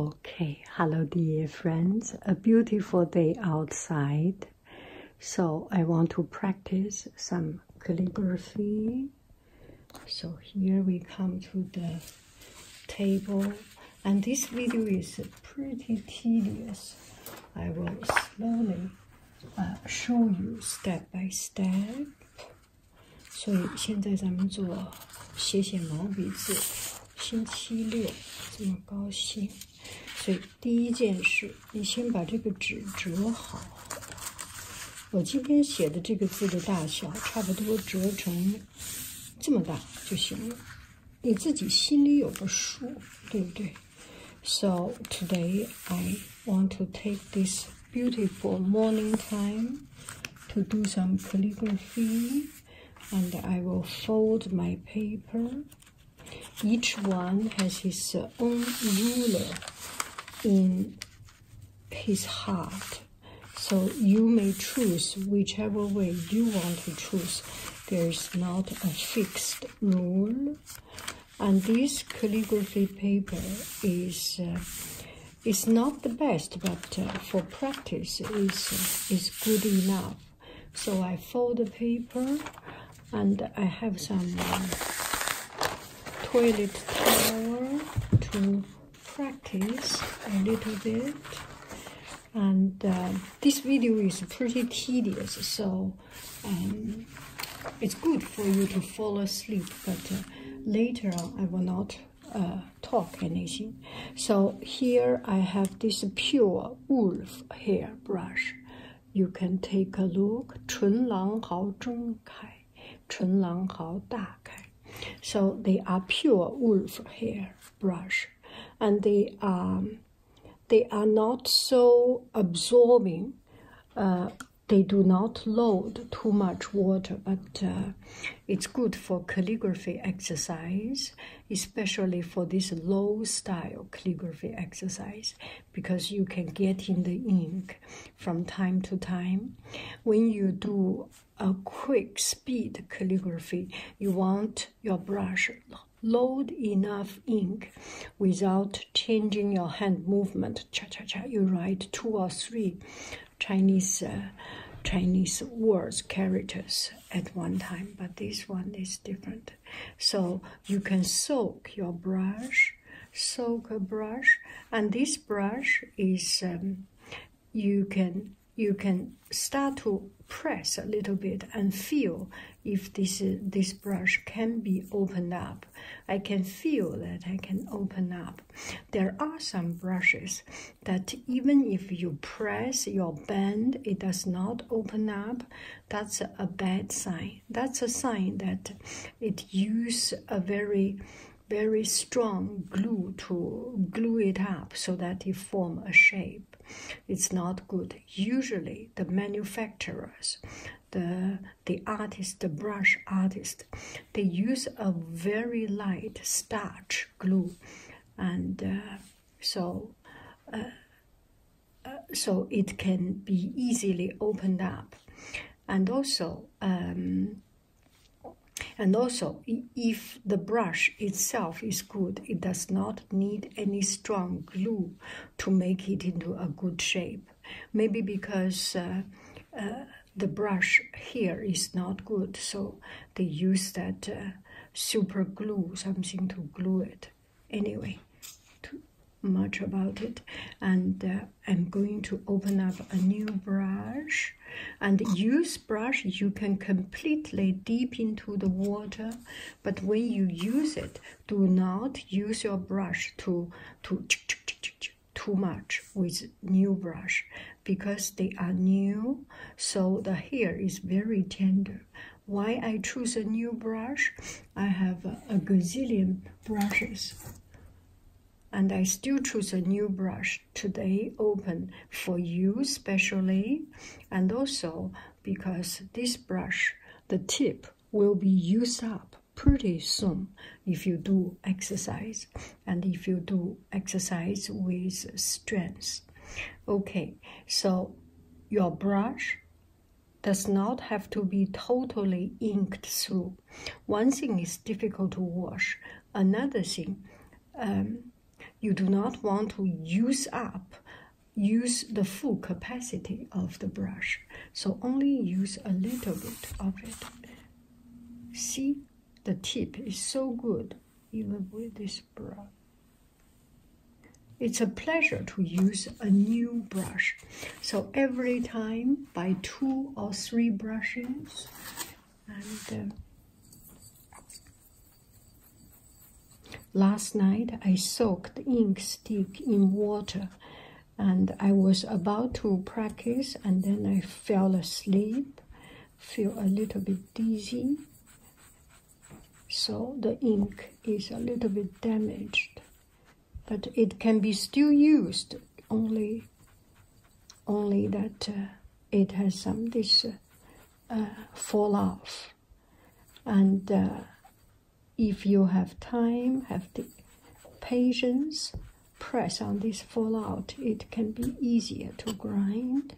Okay, hello dear friends. A beautiful day outside. So I want to practice some calligraphy. So here we come to the table and this video is pretty tedious. I will slowly uh, show you step by step. 所以现在咱们做写写毛笔字。星期六这么高兴，所以第一件事，你先把这个纸折好。我今天写的这个字的大小，差不多折成这么大就行了。你自己心里有个数，对不对？So today I want to take this beautiful morning time to do some calligraphy. and I will fold my paper. Each one has his own ruler in his heart. So you may choose whichever way you want to choose. There is not a fixed rule. And this calligraphy paper is uh, it's not the best, but uh, for practice, is is good enough. So I fold the paper, and I have some uh, toilet towel to practice a little bit. And uh, this video is pretty tedious, so um, it's good for you to fall asleep, but later I will not uh, talk anything. So here I have this pure wolf hair brush. You can take a look. 唇廊毫中开，唇廊毫大开. So they are pure wolf hair brush, and they are um, they are not so absorbing. Uh, they do not load too much water, but uh, it's good for calligraphy exercise, especially for this low style calligraphy exercise, because you can get in the ink from time to time. When you do a quick speed calligraphy, you want your brush load enough ink without changing your hand movement. Cha cha cha, you write two or three Chinese uh, Chinese words characters at one time, but this one is different. So you can soak your brush, soak a brush, and this brush is um, you can you can start to press a little bit and feel if this uh, this brush can be opened up. I can feel that I can open up. There are some brushes that even if you press your band, it does not open up. That's a bad sign. That's a sign that it use a very very strong glue to glue it up so that it form a shape. It's not good. Usually the manufacturers, the the artist, the brush artist, they use a very light starch glue and uh, so uh, uh, so it can be easily opened up and also um, and also if the brush itself is good it does not need any strong glue to make it into a good shape maybe because the brush here is not good so they use that uh, super glue, something to glue it. Anyway, too much about it. And uh, I'm going to open up a new brush. And use brush, you can completely deep into the water, but when you use it, do not use your brush to to too much with new brush because they are new so the hair is very tender why i choose a new brush i have a gazillion brushes and i still choose a new brush today open for you specially and also because this brush the tip will be used up pretty soon if you do exercise and if you do exercise with strength. Okay, so your brush does not have to be totally inked through. One thing is difficult to wash. Another thing, um, you do not want to use up, use the full capacity of the brush. So only use a little bit of it. See, the tip is so good even with this brush. It's a pleasure to use a new brush. So every time by two or three brushes and uh, Last night I soaked ink stick in water and I was about to practice and then I fell asleep feel a little bit dizzy. So the ink is a little bit damaged, but it can be still used. Only, only that uh, it has some this uh, uh fall off, and uh, if you have time, have the patience, press on this fallout. It can be easier to grind.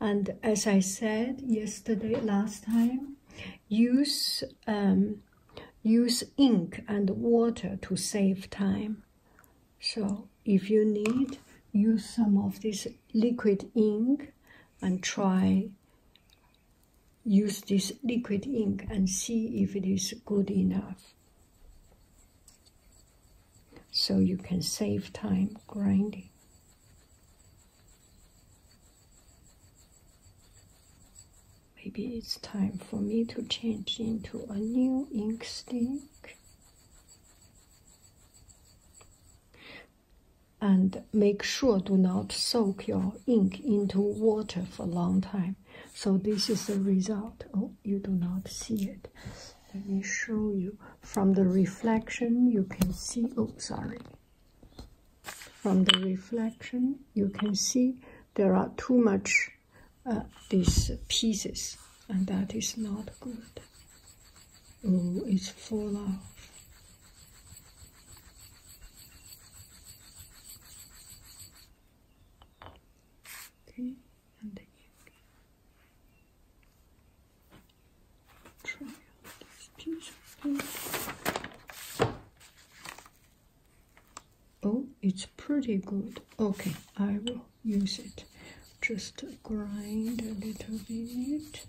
And as I said yesterday, last time, use um, use ink and water to save time. So if you need, use some of this liquid ink and try use this liquid ink and see if it is good enough so you can save time grinding. Maybe it's time for me to change into a new ink stick and make sure do not soak your ink into water for a long time. So this is the result. Oh, you do not see it. Let me show you from the reflection you can see oh sorry from the reflection you can see there are too much uh, these pieces and that is not good oh it's full of okay Oh, it's pretty good. Okay, I will use it. Just grind a little bit.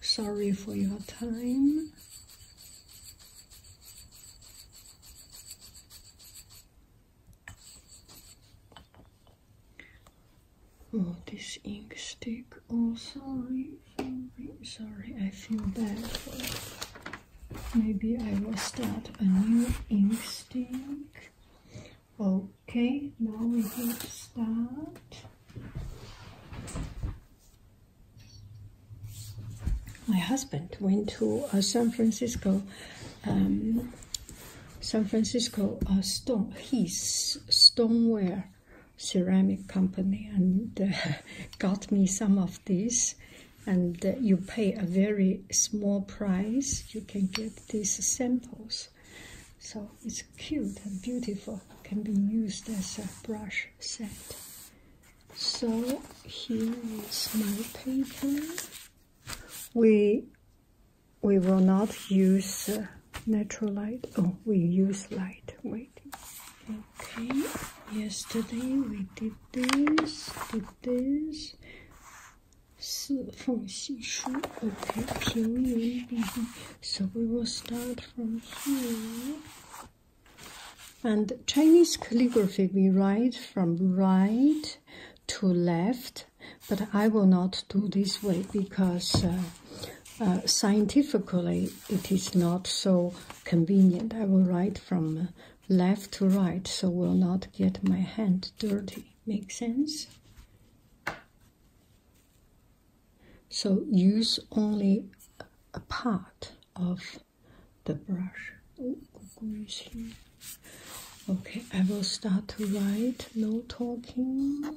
Sorry for your time. Oh, this ink stick Oh, sorry, Sorry, I feel bad Maybe I will start a new ink stick. Okay, now we can start. My husband went to uh, San Francisco um, San Francisco uh, Stone Heath Stoneware Ceramic Company, and uh, got me some of these. And uh, you pay a very small price, you can get these samples. So it's cute and beautiful. Can be used as a brush set. So here is my paper. We we will not use uh, natural light. Oh, we use light. Wait. Okay. Yesterday we did this, did this. 四缝细书. Okay. 平云笔. So we will start from here. And Chinese calligraphy, we write from right to left but I will not do this way because uh, uh, scientifically it is not so convenient. I will write from uh, left to right, so will not get my hand dirty. Make sense? So use only a part of the brush. Okay, I will start to write, no talking.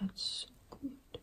that's so good.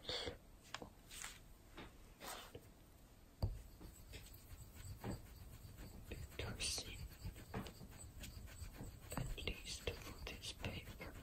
It does at least for this paper, but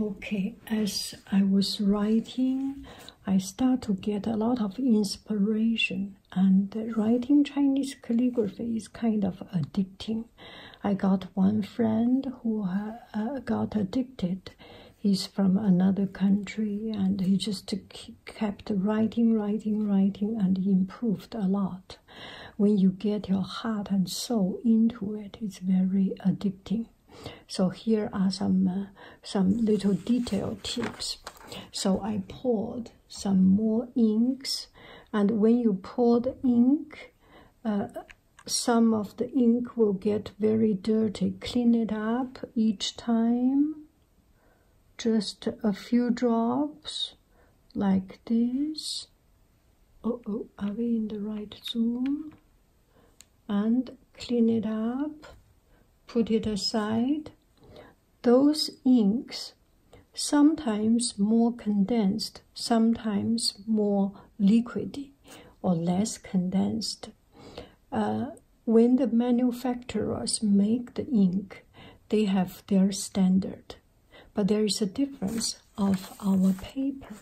Okay, as I was writing, I start to get a lot of inspiration, and writing Chinese calligraphy is kind of addicting. I got one friend who uh, uh, got addicted. He's from another country, and he just kept writing, writing, writing, and improved a lot. When you get your heart and soul into it, it's very addicting. So here are some uh, some little detail tips. So I poured some more inks, and when you pour the ink, uh, some of the ink will get very dirty. Clean it up each time. Just a few drops, like this, oh are we in the right zoom? and clean it up put it aside those inks sometimes more condensed sometimes more liquidy or less condensed uh, when the manufacturers make the ink they have their standard but there is a difference of our paper.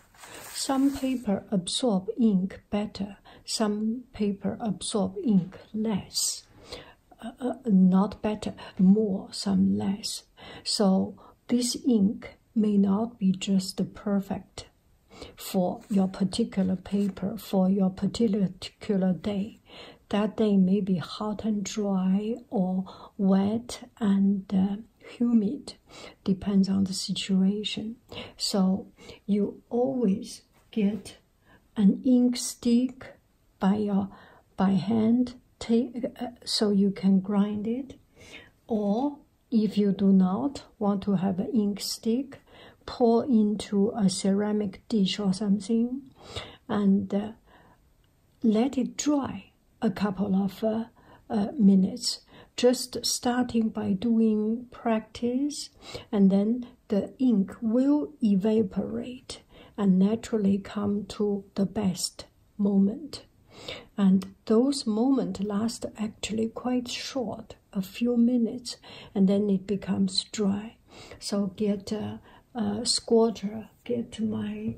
Some paper absorb ink better, some paper absorb ink less. Uh, uh, not better, more, some less. So this ink may not be just perfect for your particular paper, for your particular day. That day may be hot and dry or wet and uh, humid depends on the situation so you always get an ink stick by your by hand take uh, so you can grind it or if you do not want to have an ink stick pour into a ceramic dish or something and uh, let it dry a couple of uh, uh, minutes. Just starting by doing practice, and then the ink will evaporate and naturally come to the best moment. And those moments last actually quite short, a few minutes, and then it becomes dry. So get a, a squatter, get my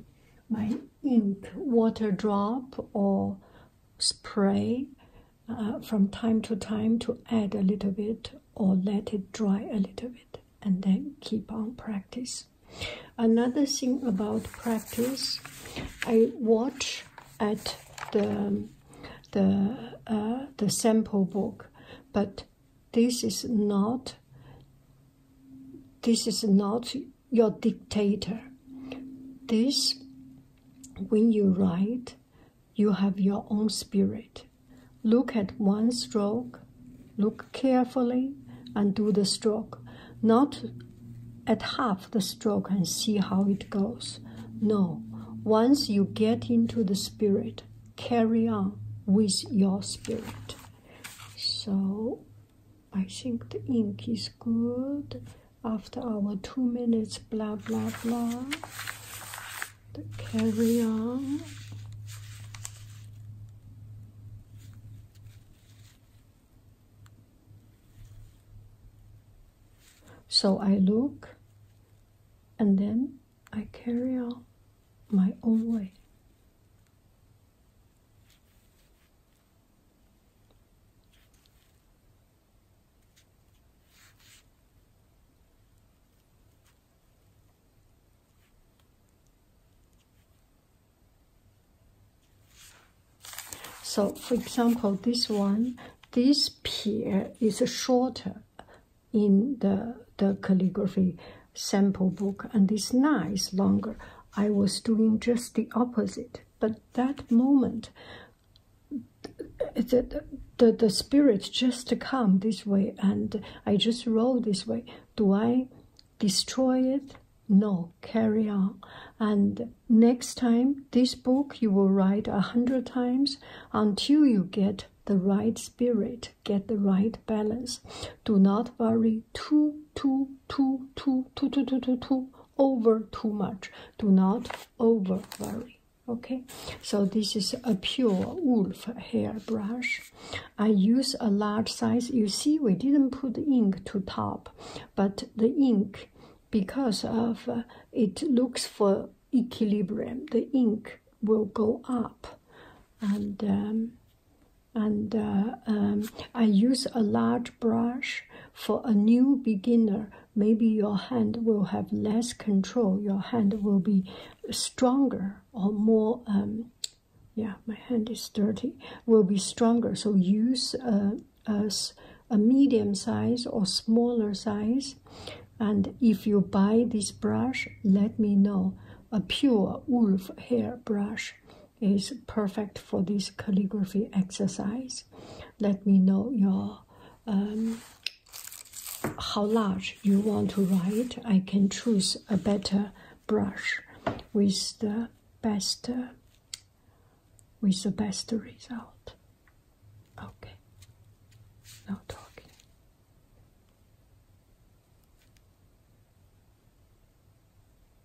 my ink water drop or spray uh, from time to time to add a little bit or let it dry a little bit and then keep on practice another thing about practice i watch at the the uh, the sample book but this is not this is not your dictator. This, when you write, you have your own spirit. Look at one stroke, look carefully, and do the stroke. Not at half the stroke and see how it goes. No, once you get into the spirit, carry on with your spirit. So I think the ink is good after our two minutes blah blah blah the carry on so I look and then I carry on my own way so for example, this one, this pier is shorter in the, the calligraphy sample book and this nine is longer. I was doing just the opposite but that moment the, the, the spirit just come this way and i just roll this way do i destroy it no carry on and next time this book you will write a hundred times until you get the right spirit get the right balance do not worry too too too too too too too too too over too much. Do not over worry. Okay, so this is a pure wolf hairbrush. I use a large size. You see, we didn't put ink to top, but the ink, because of uh, it looks for equilibrium, the ink will go up, and um, and uh, um, I use a large brush for a new beginner. Maybe your hand will have less control. Your hand will be stronger or more. Um, yeah, my hand is dirty. Will be stronger. So use uh, a, a, a medium size or smaller size. And if you buy this brush, let me know. A pure wolf hair brush is perfect for this calligraphy exercise. Let me know your um, how large you want to write. I can choose a better brush with the best uh, with the best result. Okay. Now talking.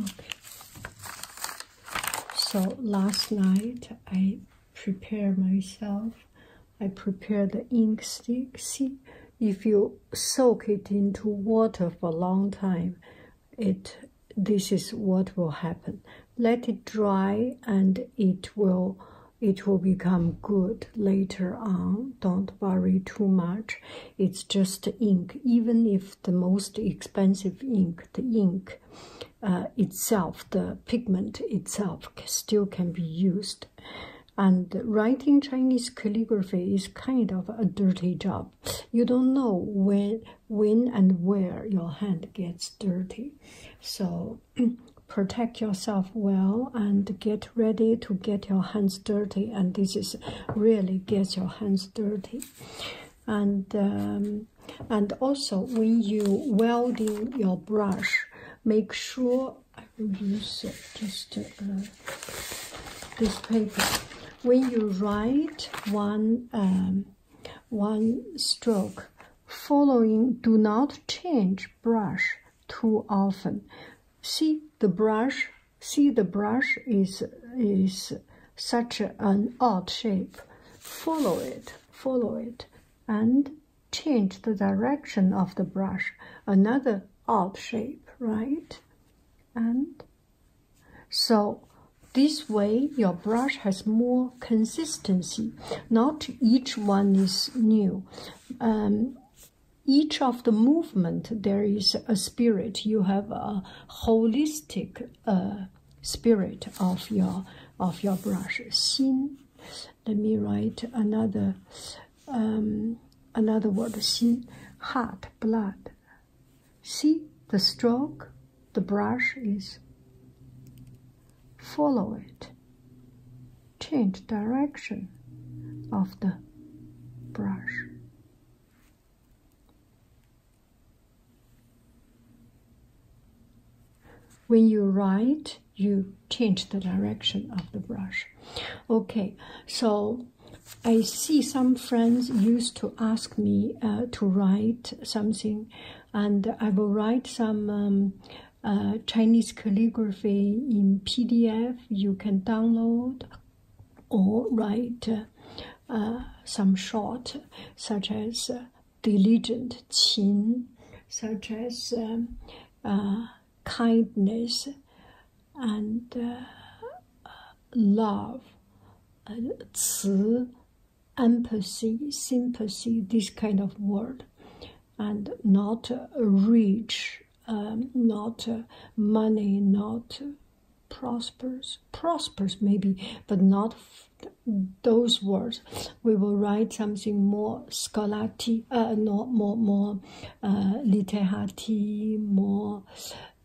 Okay. So last night I prepared myself. I prepared the ink stick. See, if you soak it into water for a long time, it this is what will happen let it dry and it will it will become good later on don't worry too much it's just ink even if the most expensive ink the ink uh, itself the pigment itself still can be used and writing chinese calligraphy is kind of a dirty job you don't know when, when and where your hand gets dirty. So protect yourself well and get ready to get your hands dirty. And this is really gets your hands dirty. And um, and also when you welding your brush, make sure I will use it just. Uh, this paper. When you write one um, one stroke, following do not change brush too often. See the brush. See the brush is is such an odd shape. Follow it. Follow it, and change the direction of the brush. Another odd shape, right? And so this way your brush has more consistency. Not each one is new. Um, each of the movement there is a spirit. You have a holistic uh, spirit of your of your brush. Xin. Let me write another um, another word. Xin, heart, blood. See the stroke the brush is. Follow it. Change direction of the brush. When you write, you change the direction of the brush. Okay, so I see some friends used to ask me uh, to write something, and I will write some um, uh, Chinese calligraphy in PDF you can download, or write uh, some short, such as diligent qin, such as um, kindness, and uh, love, uh, empathy, sympathy, this kind of word, and not uh, rich, um, not uh, money, not uh, prospers, maybe, but not those words. We will write something more scholarly, uh, no, more more uh, literati, more.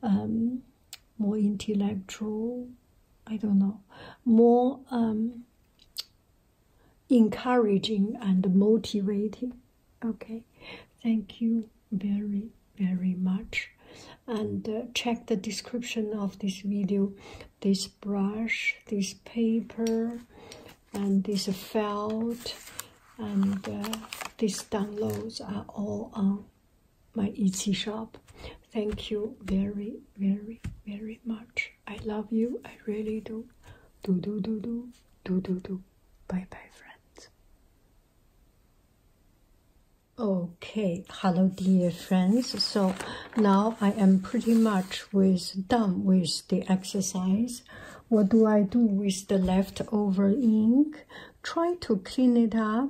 Um, more intellectual, I don't know, more um, encouraging and motivating. Okay, thank you very, very much. And uh, check the description of this video this brush, this paper, and this felt, and uh, these downloads are all on my Etsy shop. Thank you very, very, very much. I love you. I really do. Do, do, do, do. Do, do, do. Bye, bye, friends. Okay, hello, dear friends. So now I am pretty much with done with the exercise. What do I do with the leftover ink? Try to clean it up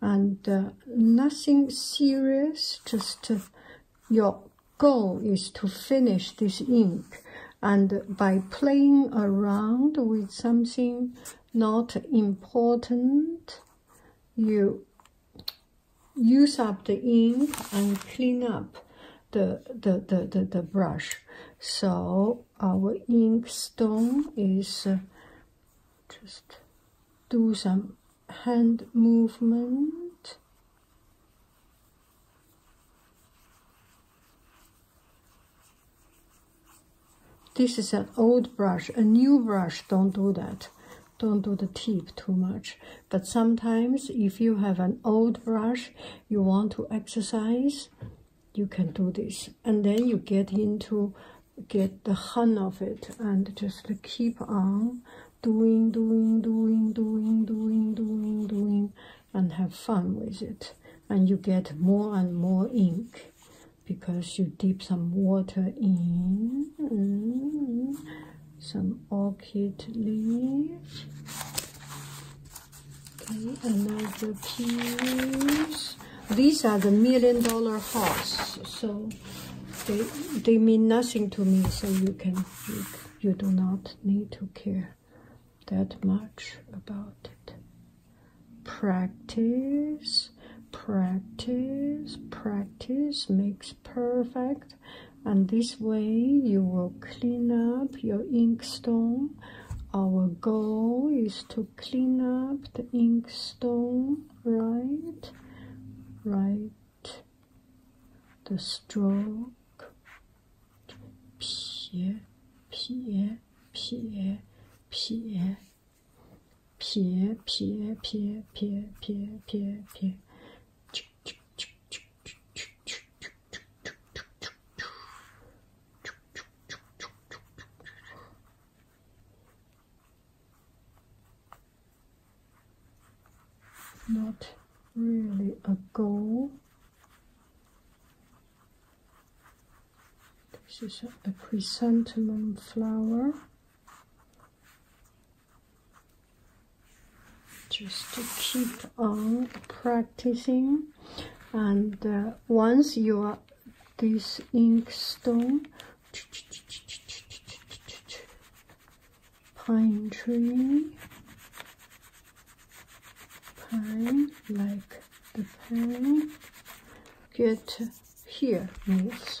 and uh, nothing serious just uh, your goal is to finish this ink and by playing around with something not important you use up the ink and clean up the the the the, the brush. So our ink stone is uh, just do some hand movement. This is an old brush, a new brush, don't do that. Don't do the tip too much. But sometimes if you have an old brush, you want to exercise, you can do this. And then you get into get the hang of it and just keep on doing, doing, doing, doing, doing, doing, doing, and have fun with it. And you get more and more ink because you dip some water in, some orchid leaves. Okay, another piece. These are the million dollar horse, so they they mean nothing to me. So you can you, you do not need to care that much about it. Practice, practice, practice makes perfect and this way you will clean up your inkstone our goal is to clean up the inkstone right right the stroke pie pie pie pie pie pie pie pie pie pie pie not really a goal. This is a, chrysanthemum flower just to keep on practicing and uh, once you are this inkstone pine tree pine like the pine get here means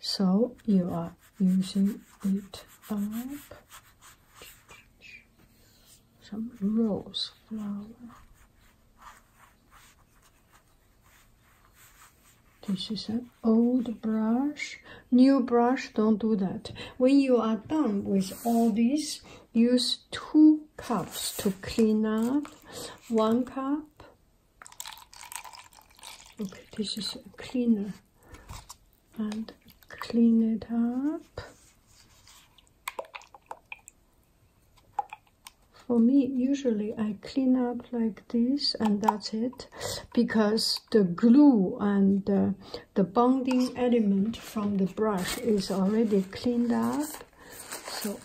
so you are using it up some rose flower this is an old brush new brush don't do that when you are done with all this, use two cups to clean up one cup okay this is cleaner and clean it up. For me, usually I clean up like this and that's it because the glue and the bonding element from the brush is already cleaned up. So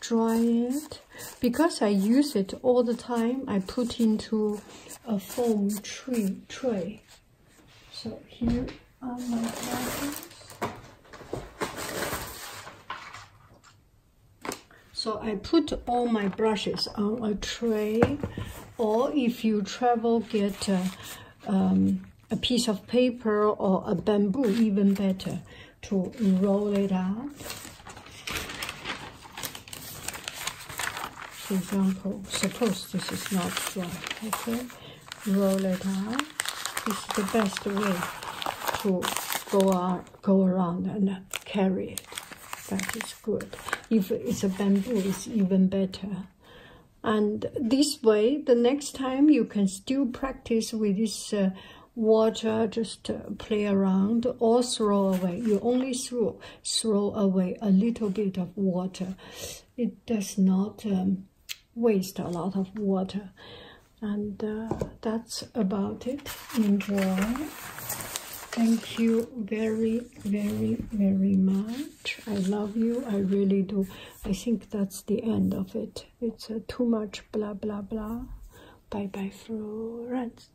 dry it. Because I use it all the time, I put into a foam tree tray. So here are my brushes. So I put all my brushes on a tray, or if you travel, get a, um, a piece of paper or a bamboo, even better, to roll it up. For example, suppose this is not dry, okay? Roll it out. This is the best way to go, on, go around and carry it. That is good. If it's a bamboo, it's even better. And this way, the next time you can still practice with this uh, water, just uh, play around or throw away. You only throw, throw away a little bit of water. It does not um, waste a lot of water. And uh, that's about it. Enjoy. Thank you very, very, very much. I love you. I really do. I think that's the end of it. It's uh, too much blah, blah, blah. Bye-bye, Florence.